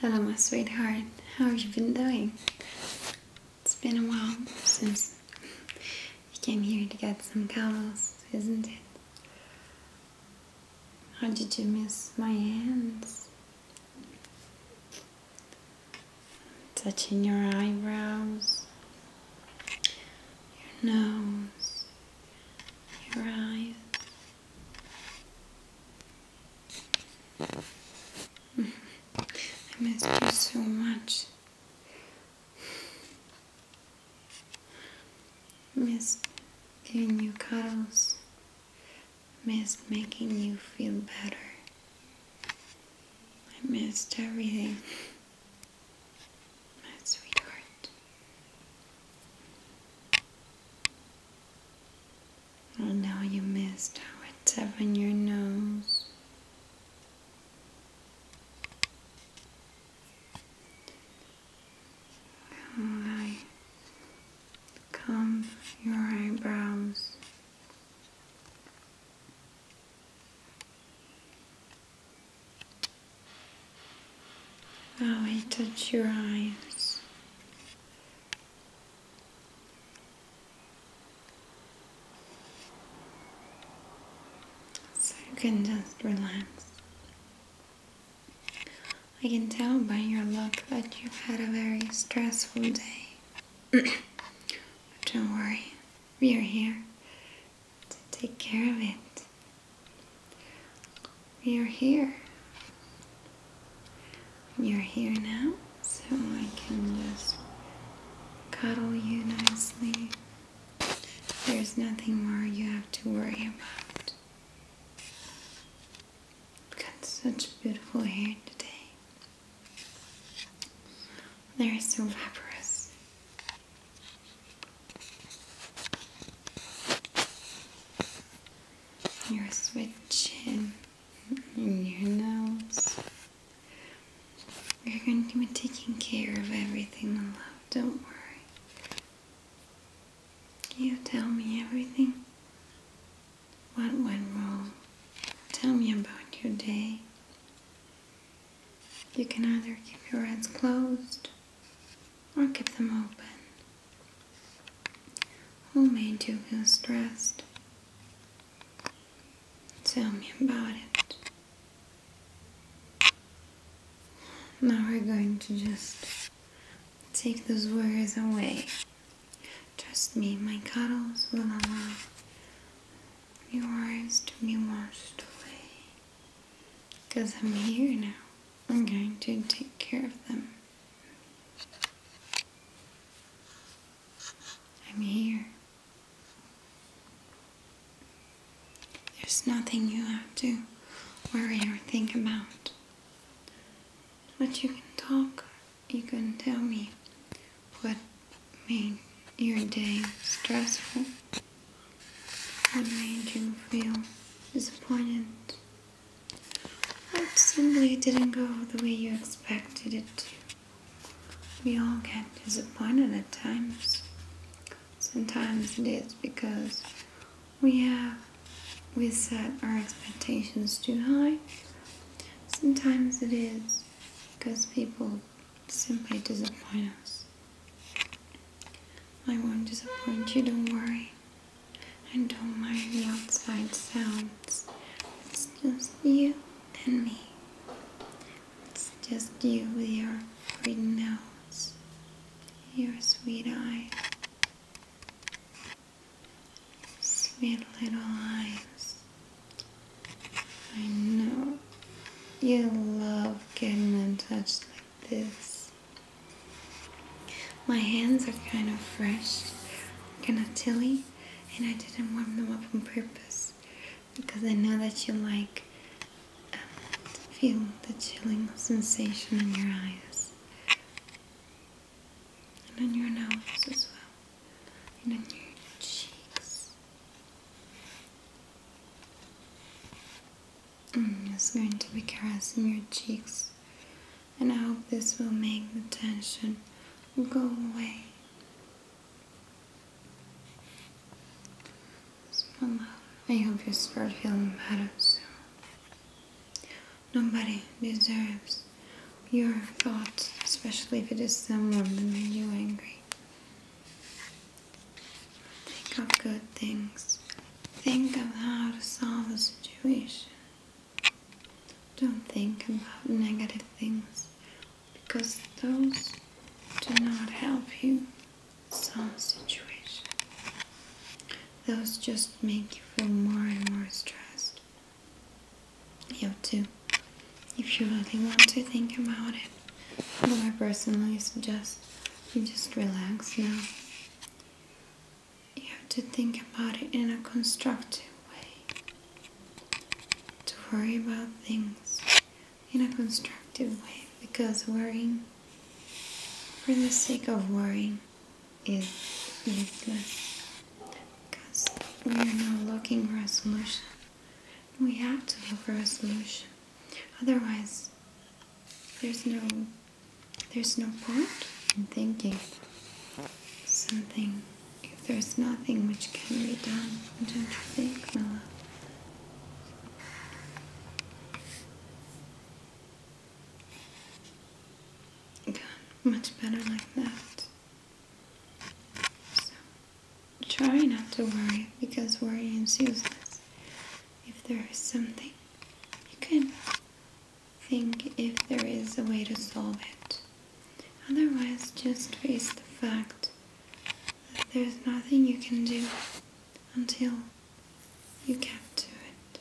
Hello, my sweetheart. How have you been doing? It's been a while since you came here to get some cowls, isn't it? How did you miss my hands? Touching your eyebrows, your nose, your eyes. I missed you so much. Missed giving you cuddles. Missed making you feel better. I missed everything. My sweetheart. Oh, now you missed how it's up in your nose. How I comb your eyebrows. How I touch your eyes. So you can just relax. I can tell by your look that you've had a very stressful day. don't worry, we are here to take care of it. You're here. You're here now, so I can just cuddle you nicely. There's nothing more you have to worry about. Got such beautiful hair today. They're so vaporous. You're switching in your nose. You're going to be taking care of everything, love. Don't worry. You tell me everything. What went wrong? Tell me about your day. You can either keep your eyes closed or keep them open. Who made you feel stressed? Tell me about it. Now we're going to just take those worries away. Trust me, my cuddles will allow your worries to be washed away. Because I'm here now. I'm going to take care of them. I'm here. There's nothing you have to worry or think about. But you can talk, you can tell me what made your day stressful, what made you feel disappointed it simply didn't go the way you expected it to. We all get disappointed at times. Sometimes it is because we have we set our expectations too high. Sometimes it is because people simply disappoint us. I won't disappoint you, don't worry. I don't mind the outside sounds. It's just you and me. It's just you with your pretty nose, your sweet eyes, sweet little eyes. I know you love getting in touch like this. My hands are kind of fresh, kind of chilly, and I didn't warm them up on purpose because I know that you like to um, feel the chilling sensation in your eyes and in your nose as well, and in your cheeks. I'm just going to be caressing your cheeks and I hope this will make the tension go away. I hope you start feeling better soon. Nobody deserves your thoughts, especially if it is someone that made you angry. Think of good things. Think of how to solve the situation. Don't think about negative things because those do not help you some situations. Those just make you feel more and more stressed. You too, if you really want to think about it. But I personally suggest you just relax now you have to think about it in a constructive way. To worry about things in a constructive way because worrying for the sake of worrying is useless because we are not looking for a solution. We have to look for a solution, otherwise, there's no there's no point in thinking something if there's nothing which can be done. Don't think, much better like that. So, try not to worry because worry is useless. If there is something, you can think if there is a way to solve it. Otherwise, just face the fact that there's nothing you can do until you get to it.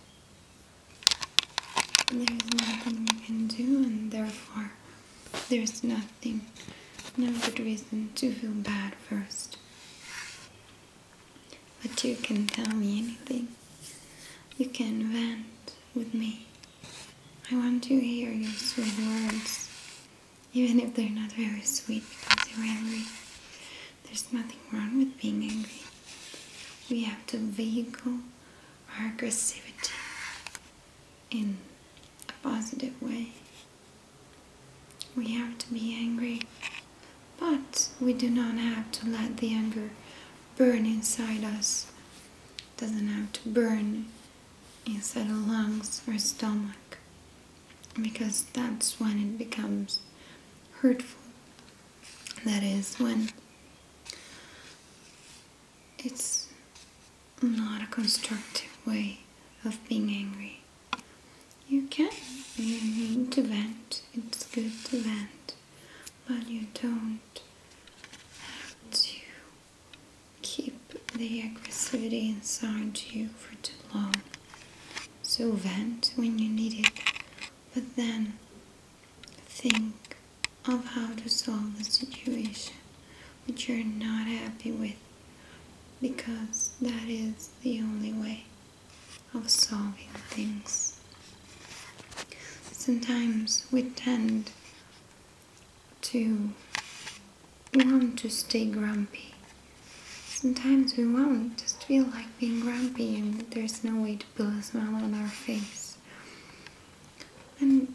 There's nothing you can do, and therefore, there's nothing, no good reason to feel bad first. But you can tell me anything. You can vent with me. I want to hear your sweet words, even if they're not very sweet because you're angry. There's nothing wrong with being angry. We have to vehicle our aggressivity in a positive way. We have to be angry, but we do not have to let the anger burn inside us. doesn't have to burn inside our lungs or stomach because that's when it becomes hurtful. That is when it's not a constructive way of being angry. You can, need to vent, it's good to vent, but you don't have to keep the aggressivity inside you for too long. So vent when you need it, but then think of how to solve the situation which you're not happy with because that is the only way of solving things. Sometimes we tend to want to stay grumpy. Sometimes we want just feel like being grumpy and there's no way to pull a smile on our face. And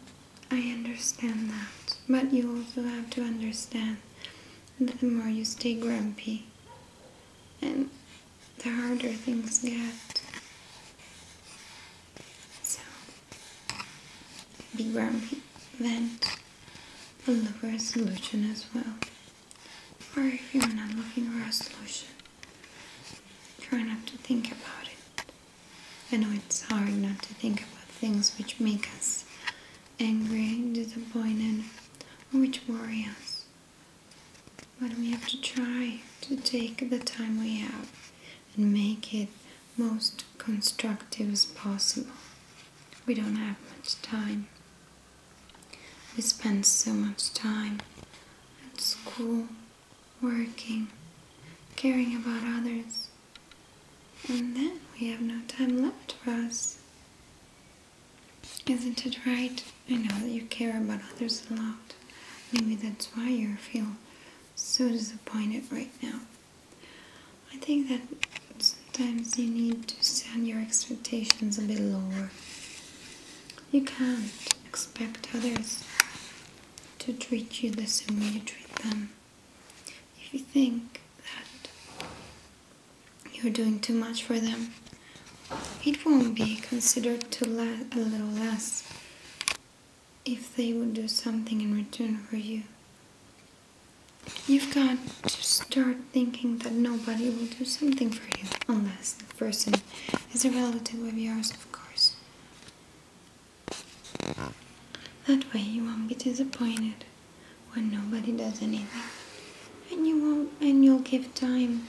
I understand that, but you also have to understand that the more you stay grumpy and the harder things get. So, be grumpy, vent, and look for a solution as well. Or if you're not looking for a solution, try not to think about it. I know it's hard not to think about things which make us angry, disappointed, or which worry us. But we have to try to take the time we have and make it most constructive as possible. We don't have much time. We spend so much time at school, working, caring about others, and then we have no time left for us. Isn't it right? I know that you care about others a lot. Maybe that's why you feel so disappointed right now. I think that sometimes you need to set your expectations a bit lower. You can't expect others to treat you the same way you treat them. If you think that you're doing too much for them, it won't be considered to la a little less if they would do something in return for you. You've got to start thinking that nobody will do something for you, unless the person is a relative of yours, of course. That way you won't be disappointed when nobody does anything. And you won't and you'll give time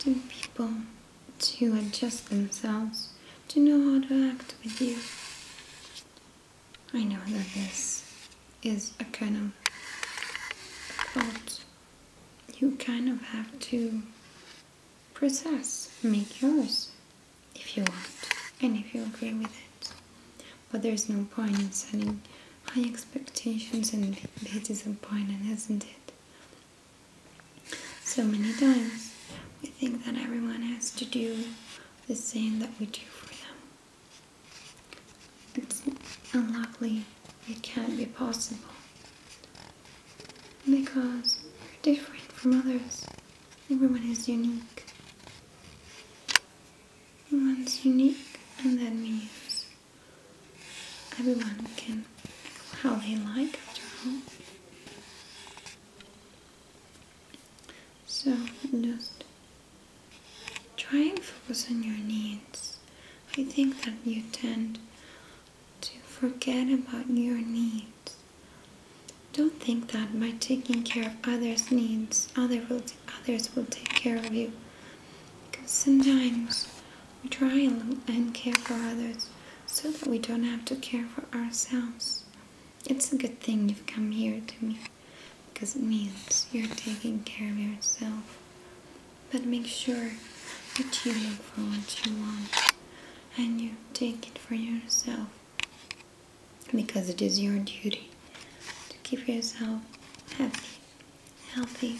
to people to adjust themselves to know how to act with you. I know that this is a kind of thought you kind of have to process, make yours if you want and if you agree with it. But there's no point in setting high expectations and be disappointed, isn't it? So many times we think that everyone has to do the same that we do for them. It's unlikely it can not be possible because we're different from others. Everyone is unique. Everyone's unique, and that means everyone can how they like after all. So just try and focus on your needs. I think that you tend to forget about your needs. Don't think that by taking care of others' needs, other will others will take care of you. Because sometimes we try and, care for others so that we don't have to care for ourselves. It's a good thing you've come here to me because it means you're taking care of yourself. But make sure that you look for what you want and you take it for yourself because it is your duty to keep yourself happy, healthy,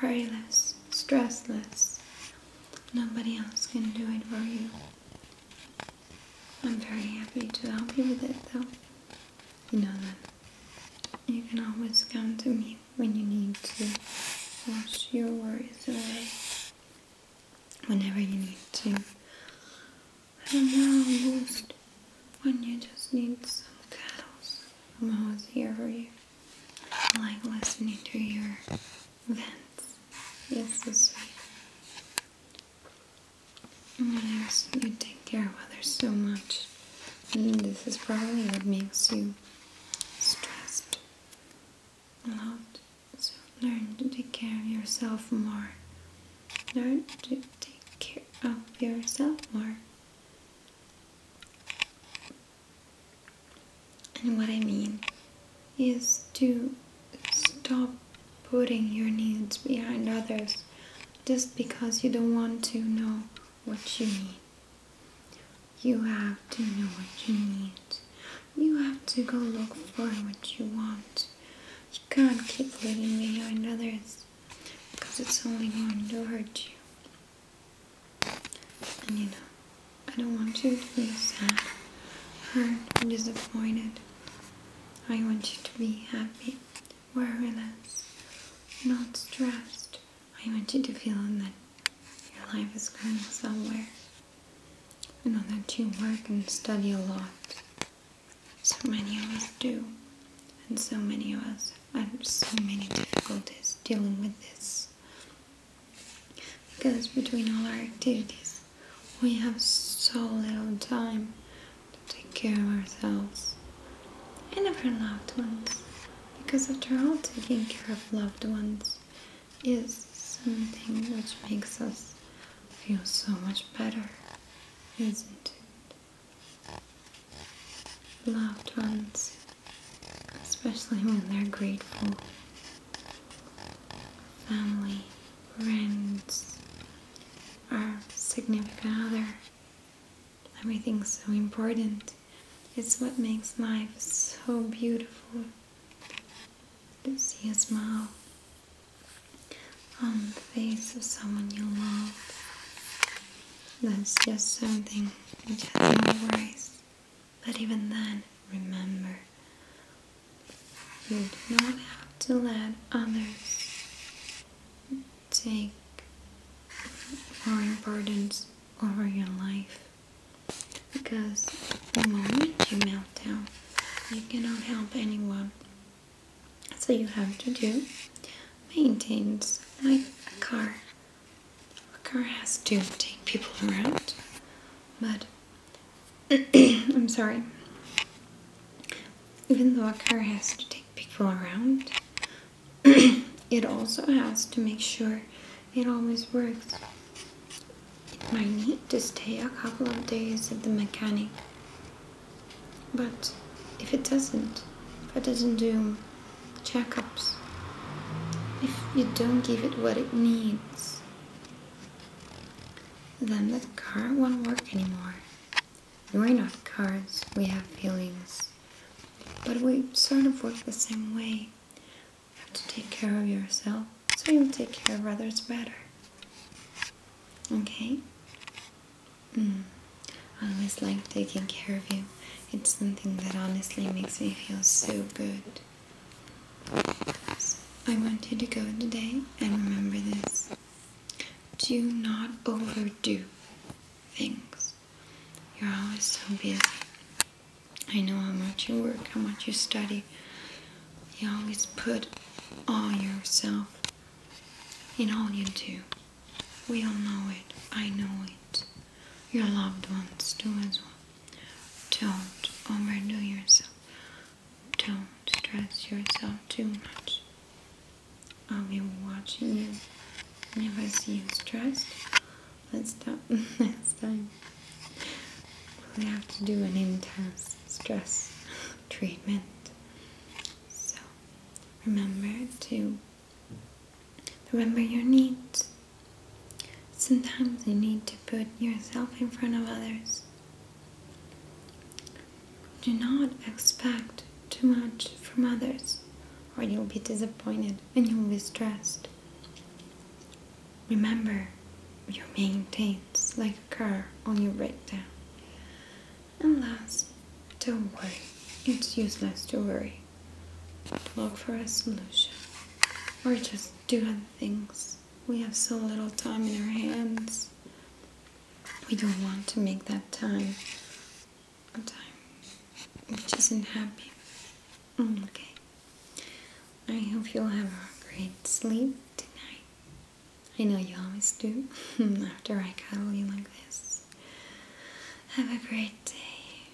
worryless, stressless, Nobody else can do it for you. I'm very happy to help you with it though. You know that. You can always come to me when you need to wash your worries away. Whenever you need to. I don't know, most when you just need some cuddles. I'm always here for you. like listening to your events. Yes, this way. Yes, you take care of others so much. this is probably what makes you stressed a lot. So learn to take care of yourself more. Learn to take care of yourself more. And what I mean is to stop putting your needs behind others just because you don't want to know what you need. You have to know what you need. You have to go look for what you want. You can't keep living behind others because it's only going to hurt you. And you know, I don't want you to be sad, hurt, disappointed. I want you to be happy, worryless, not stressed. I want you to feel that your life is going somewhere. I know that you work and study a lot. So many of us do. And so many of us have so many difficulties dealing with this. Because between all our activities, we have so little time to take care of ourselves and of our loved ones. Because after all, taking care of loved ones is something which makes us feel so much better, isn't it? Loved ones, especially when they're grateful family, friends, our significant other. Everything's so important. It's what makes life so beautiful to see a smile on the face of someone you love. That's just something which has no worries. But even then, remember, you do not have to let others take your importance over your life. Because the moment you melt down, you cannot help anyone. So you have to do maintains my car. A car has to take people around, but I'm sorry. Even though a car has to take people around, it also has to make sure it always works. It might need to stay a couple of days at the mechanic. But if it doesn't, if it doesn't do checkups, if you don't give it what it needs, then the car won't work anymore. We're not cars, we have feelings. But we sort of work the same way. You have to take care of yourself, so you can take care of others better. Okay? Mm. I always like taking care of you. It's something that honestly makes me feel so good. I want you to go today and remember this. Do not overdo things. You're always so busy. I know how much you work, how much you study. You always put all yourself in all you do. We all know it. I know it. Your loved ones do as well. Don't overdo yourself. Don't stress yourself too much. I'll be watching you. And if I see you stressed, let's stop next time. we have to do an intense stress treatment. So remember to remember your needs. Sometimes you need to put yourself in front of others. Do not expect too much from others, or you'll be disappointed and you'll be stressed. Remember, your mane like a car on your breakdown. And last, don't worry. It's useless to worry. look for a solution, or just do other things. We have so little time in our hands. We don't want to make that time a time which isn't happy. Mm, okay. I hope you'll have a great sleep tonight. I know you always do after I cuddle you like this. Have a great day.